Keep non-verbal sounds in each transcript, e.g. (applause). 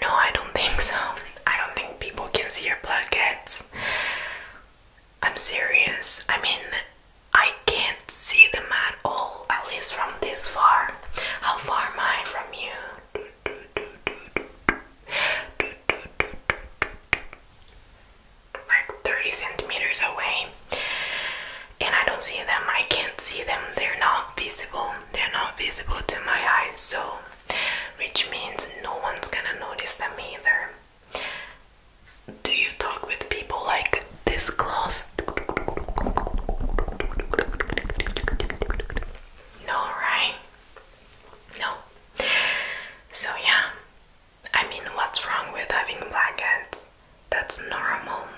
No, I don't think so. I don't think people can see your plaquettes. I'm serious. I mean, I can't see them at all, at least from this far. How far am I from you? Like 30 centimeters away and I don't see them, I can't see them, they're not visible, they're not visible to my eyes, so which means no one's gonna notice them either. Do you talk with people like this close? No, right? No. So, yeah, I mean, what's wrong with having blackheads? That's normal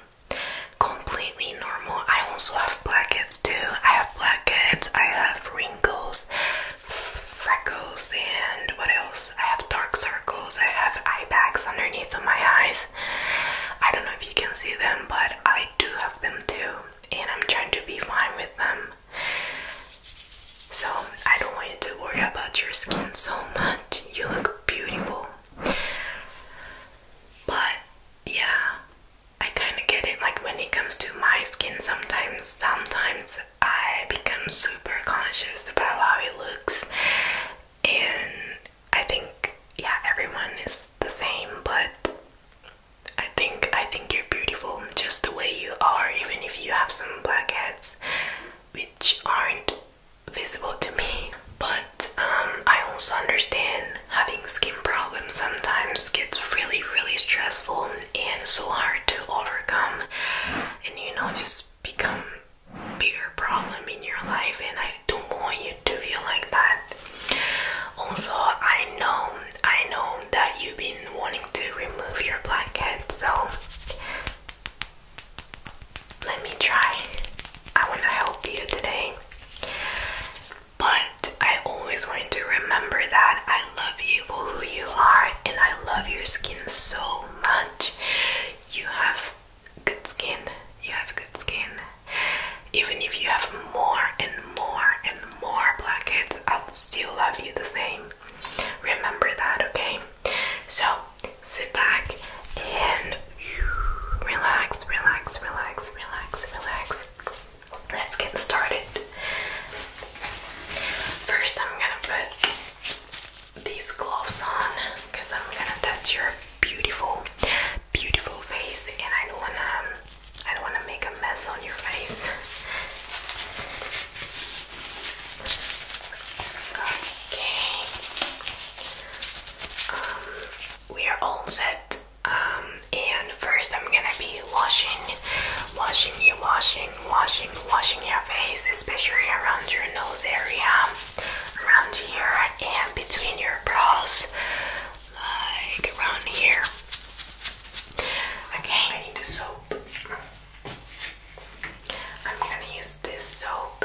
completely normal. I also have blackheads too. I have blackheads, I have wrinkles, freckles, and what else? I have dark circles, I have eye bags underneath of my eyes. I don't know if you can see them, but I do have them too, and I'm trying to be fine with them. So, I don't want you to worry about your skin so much. You look beautiful. But yeah, I kind of get it. Like when it comes to my skin, sometimes, sometimes I become super conscious about how it looks, and I think yeah, everyone is the same. But I think I think you're beautiful just the way you are, even if you have some blackheads, which aren't visible to me. But um, I also understand having skin problems sometimes gets really, really stressful and so hard to overcome, and you know, just become bigger problem in your life. And I don't want you to feel like that. Also, I know, I know that you've been wanting to remove your blackhead, so let me try. I want to help you today. But I always want to remember that I love you for who you are and I love your skin so much. You have good skin. You have good skin. Even if you have more and more and more blackheads, I'll still love you the same. Remember that, okay? So sit back and Relax, relax, relax, relax, relax. Let's get started. First, I'm gonna put these gloves on because I'm gonna touch your beautiful, beautiful face, and I don't wanna, I don't wanna make a mess on your face. Okay. Um, we are all set. Um, and first, I'm gonna be washing, washing you, washing, washing, washing your face, especially around your nose area, around here, and between your brows, like around here. Okay, I need a soap. I'm gonna use this soap.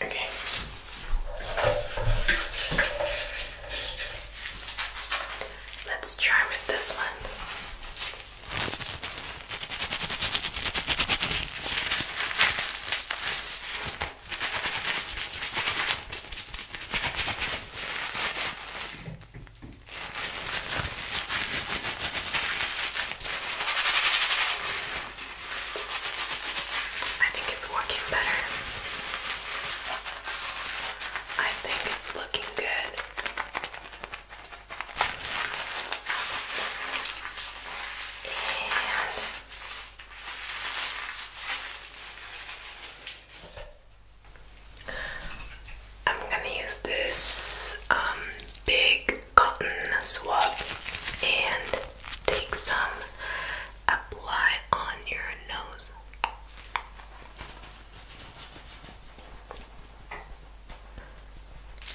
Okay. Let's try with this one. I think it's working better. I think it's looking good. And I'm gonna use this um, big cotton swab and take some, apply on your nose.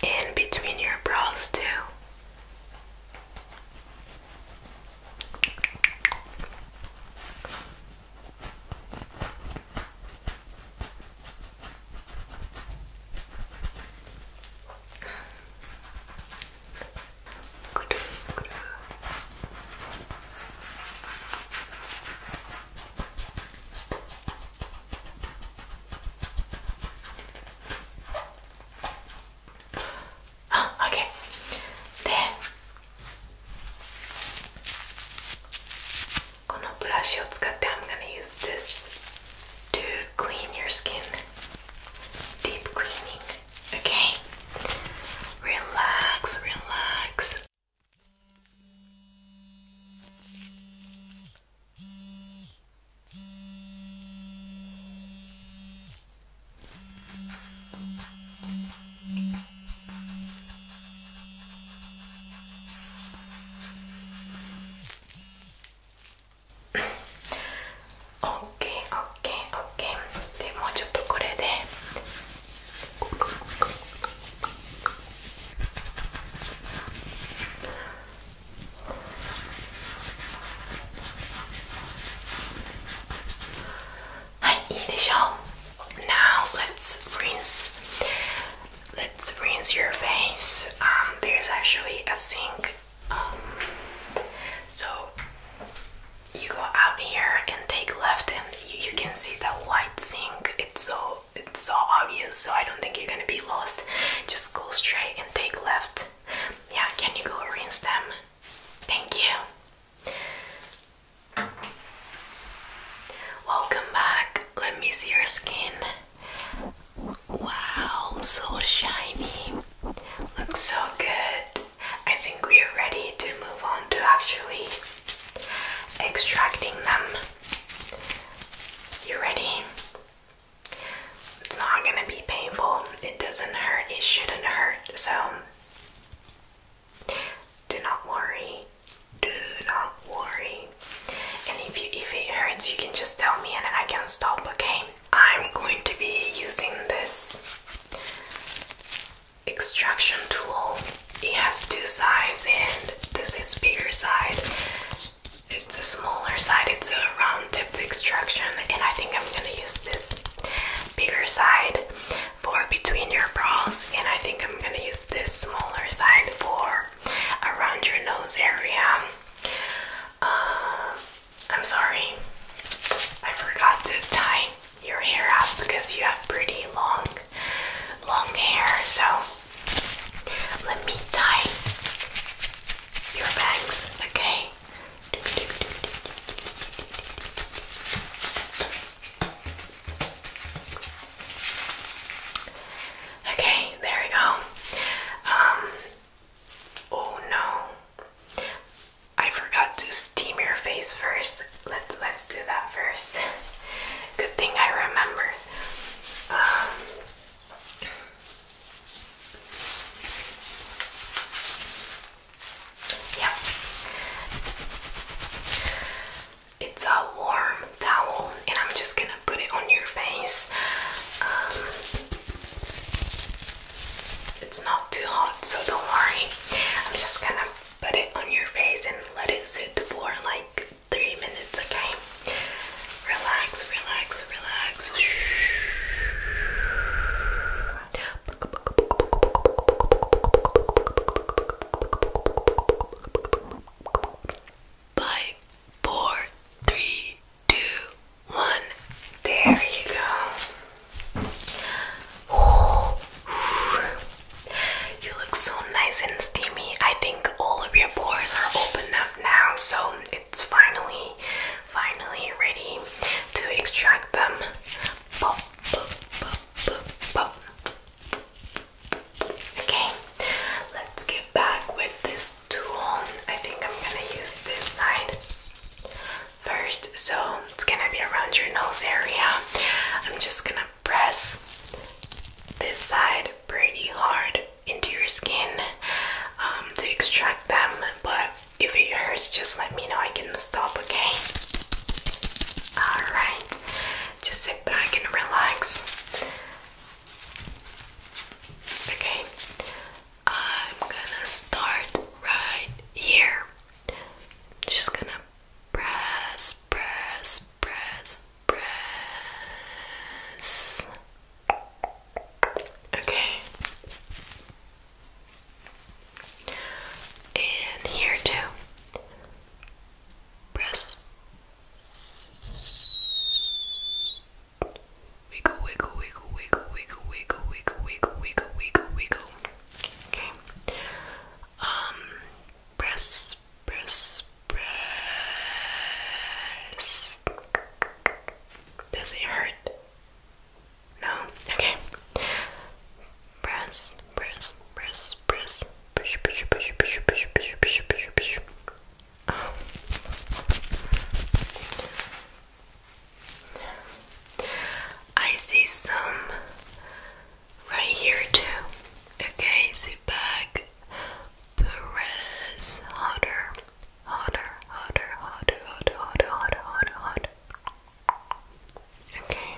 And between your brows, too. くるくるあっ OK でこのブラシを使って I'm gonna use this to clean your skin deep cleaning okay relax relax オッケーオッケーオッケーでもうちょっとこれではいいいでしょう Now let's rinse. Let's rinse your face. Um, there's actually a sink, um, so you go out here and take left, and you can see that white sink. It's so it's so obvious. So I don't think you're gonna be lost. Just go straight and take left. Yeah, can you go rinse them? Thank you. Welcome back. Let me see your skin. Wow, so shiny. Looks so good. I think we are ready to move on to actually extracting them. You ready? It's not gonna be painful. It doesn't hurt. It shouldn't hurt. So, do not worry do not worry. And if if it hurts, you can just tell me and then I can stop. Okay. I'm going to be using this extraction tool. It has two sides, and this is bigger side. It's a smaller side. It's a round tipped extraction, and I think I'm gonna use this bigger side for between your brows. And I think I'm gonna use this smaller side for around your nose area. Um, I'm sorry, I forgot to tie your hair up because you have pretty long, long hair. So let me tie your bangs, okay? Okay, there we go. Um, oh no, I forgot to steam your face first. Let's let's do that first. (laughs) Good thing I remember. Um, it's a warm towel, and I'm just gonna put it on your face. Um, it's not too hot, so don't worry. I'm just gonna put it on your face and let it sit for like three minutes, okay? Relax, relax, relax. Five, four, three, two, one. There you go. You look so nice and steamy. I think all of your pores are open up now, so it's finally, finally ready to extract them. Okay, let's get back with this tool. I think I'm gonna use this side first. So it's gonna be around your nose area. I'm just gonna press this side pretty hard into your skin um, to extract them. But if it hurts, just let me know. I can stop, okay? Alright, just back and relax. Okay, I'm gonna start right here. Just gonna press, press, press, press. Okay, and here too press. Wiggle, wiggle, wiggle, wiggle, wiggle, wiggle, wiggle, wiggle, wiggle, wiggle, wiggle. Okay. Um, press, press, press. Does it hurt? No. Okay. Press, press, press, press. I see some right here too. Okay, sit back. Press harder, harder, harder, harder, harder, harder, harder, harder, Okay.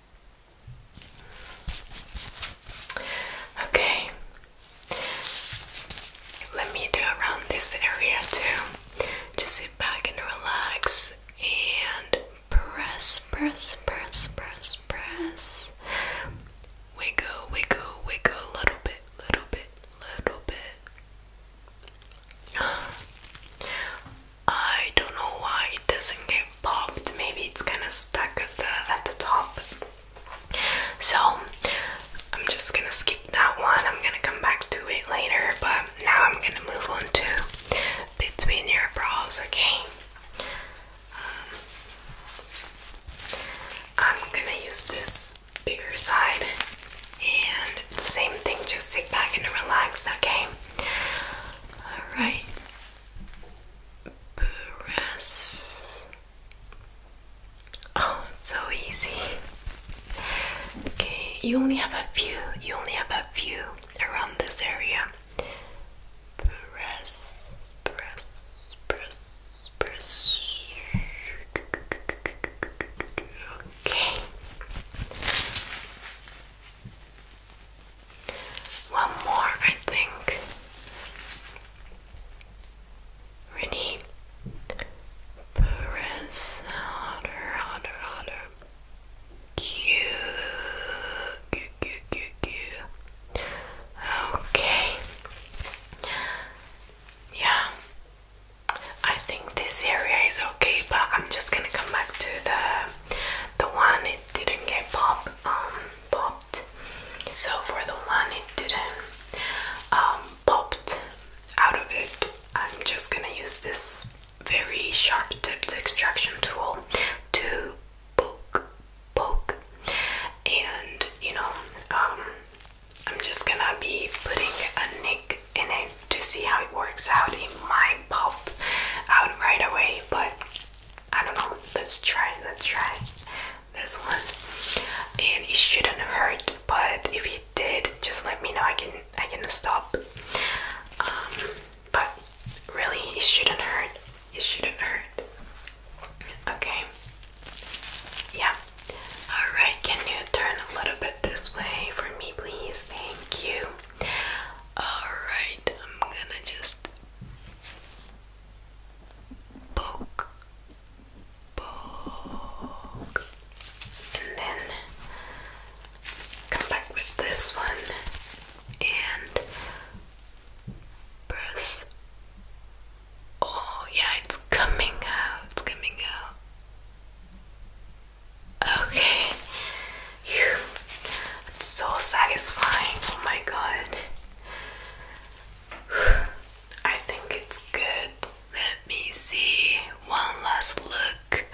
Okay, let me do around this area too. Just sit back and relax and press, press, press, press, press. Wiggle, wiggle, wiggle, little bit, little bit, little bit. (gasps) I don't know why it doesn't go popped. Maybe it's kind of stuck at the at the top. So I'm just gonna skip that one. I'm gonna come back to it later. But now I'm gonna move on to between your brows. Okay. Um, I'm gonna use this bigger side and the same thing, just sit back and relax, okay? Alright, Press. Oh, so easy. Okay, you only have a few. You only have a few around this area. Press, press, press, press. Okay. One more, I think. Ready? Press harder, harder, harder. Q, Q, Q, Q, Okay. Yeah. I think this area is okay, but I'm just gonna come back to the the one it didn't get pop popped. So for the one it didn't um, popped out of it, I'm just gonna use this very sharp tipped extraction tool to poke, poke, and you know, um, I'm just gonna be putting a nick in it to see how it works out. It might pop out right away, but I don't know. Let's try. Let's try this one. And it shouldn't hurt, but if it did, just let me know. I can I can stop. Um, but really, it shouldn't hurt. It shouldn't hurt. Okay. Yeah. All right. Can you turn a little bit this way for me, please? Thank you. All right. I'm gonna just poke, poke, and then come back with this one and press. Oh, yeah, it's coming out, it's coming out. Okay, (laughs) it's so satisfying. Oh my god. (sighs) I think it's good. Let me see one last look.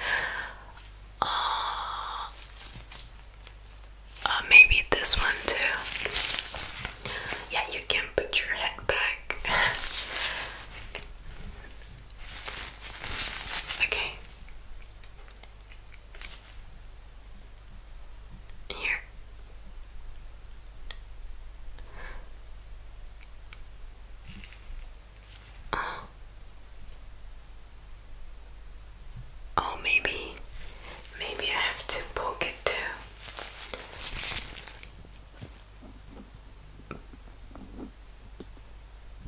Uh, uh, maybe this one too. Yeah, you can put your head back. (laughs) okay. Here. Oh. Oh, maybe, maybe I have to poke it too.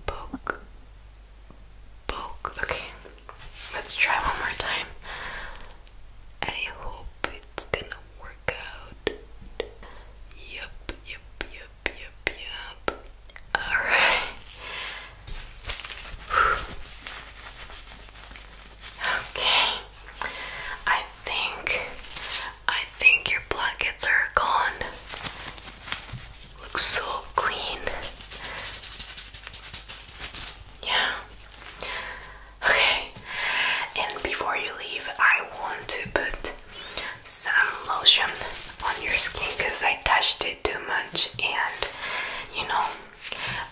Poke, poke. Okay. Let's try one more time. I hope it's gonna work out. Yup, yup, yup, yup, yup. Alright. Okay. I think I think your blankets are gone. Looks so clean. Yeah. Okay, and before you leave, I want to put some lotion on your skin because I touched it too much, and you know,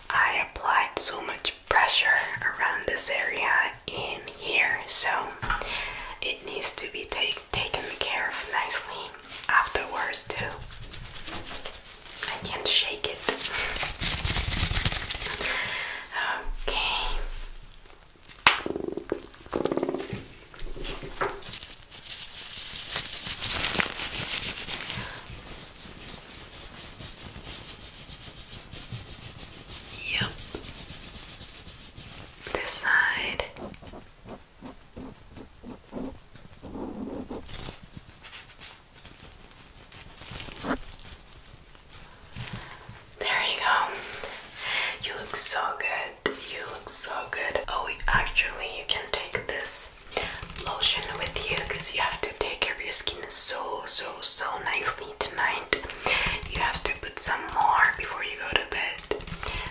I applied so much pressure around this area in here, so it needs to be taken care of nicely afterwards, too. I can't shake it. Okay. Yep. This side. There you go. You look so good. You look so good. Oh, actually, you can take this lotion with you because you have to take care of your skin so, so, so nicely tonight. You have to put some more before you go to bed.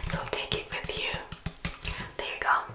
So take it with you. There you go.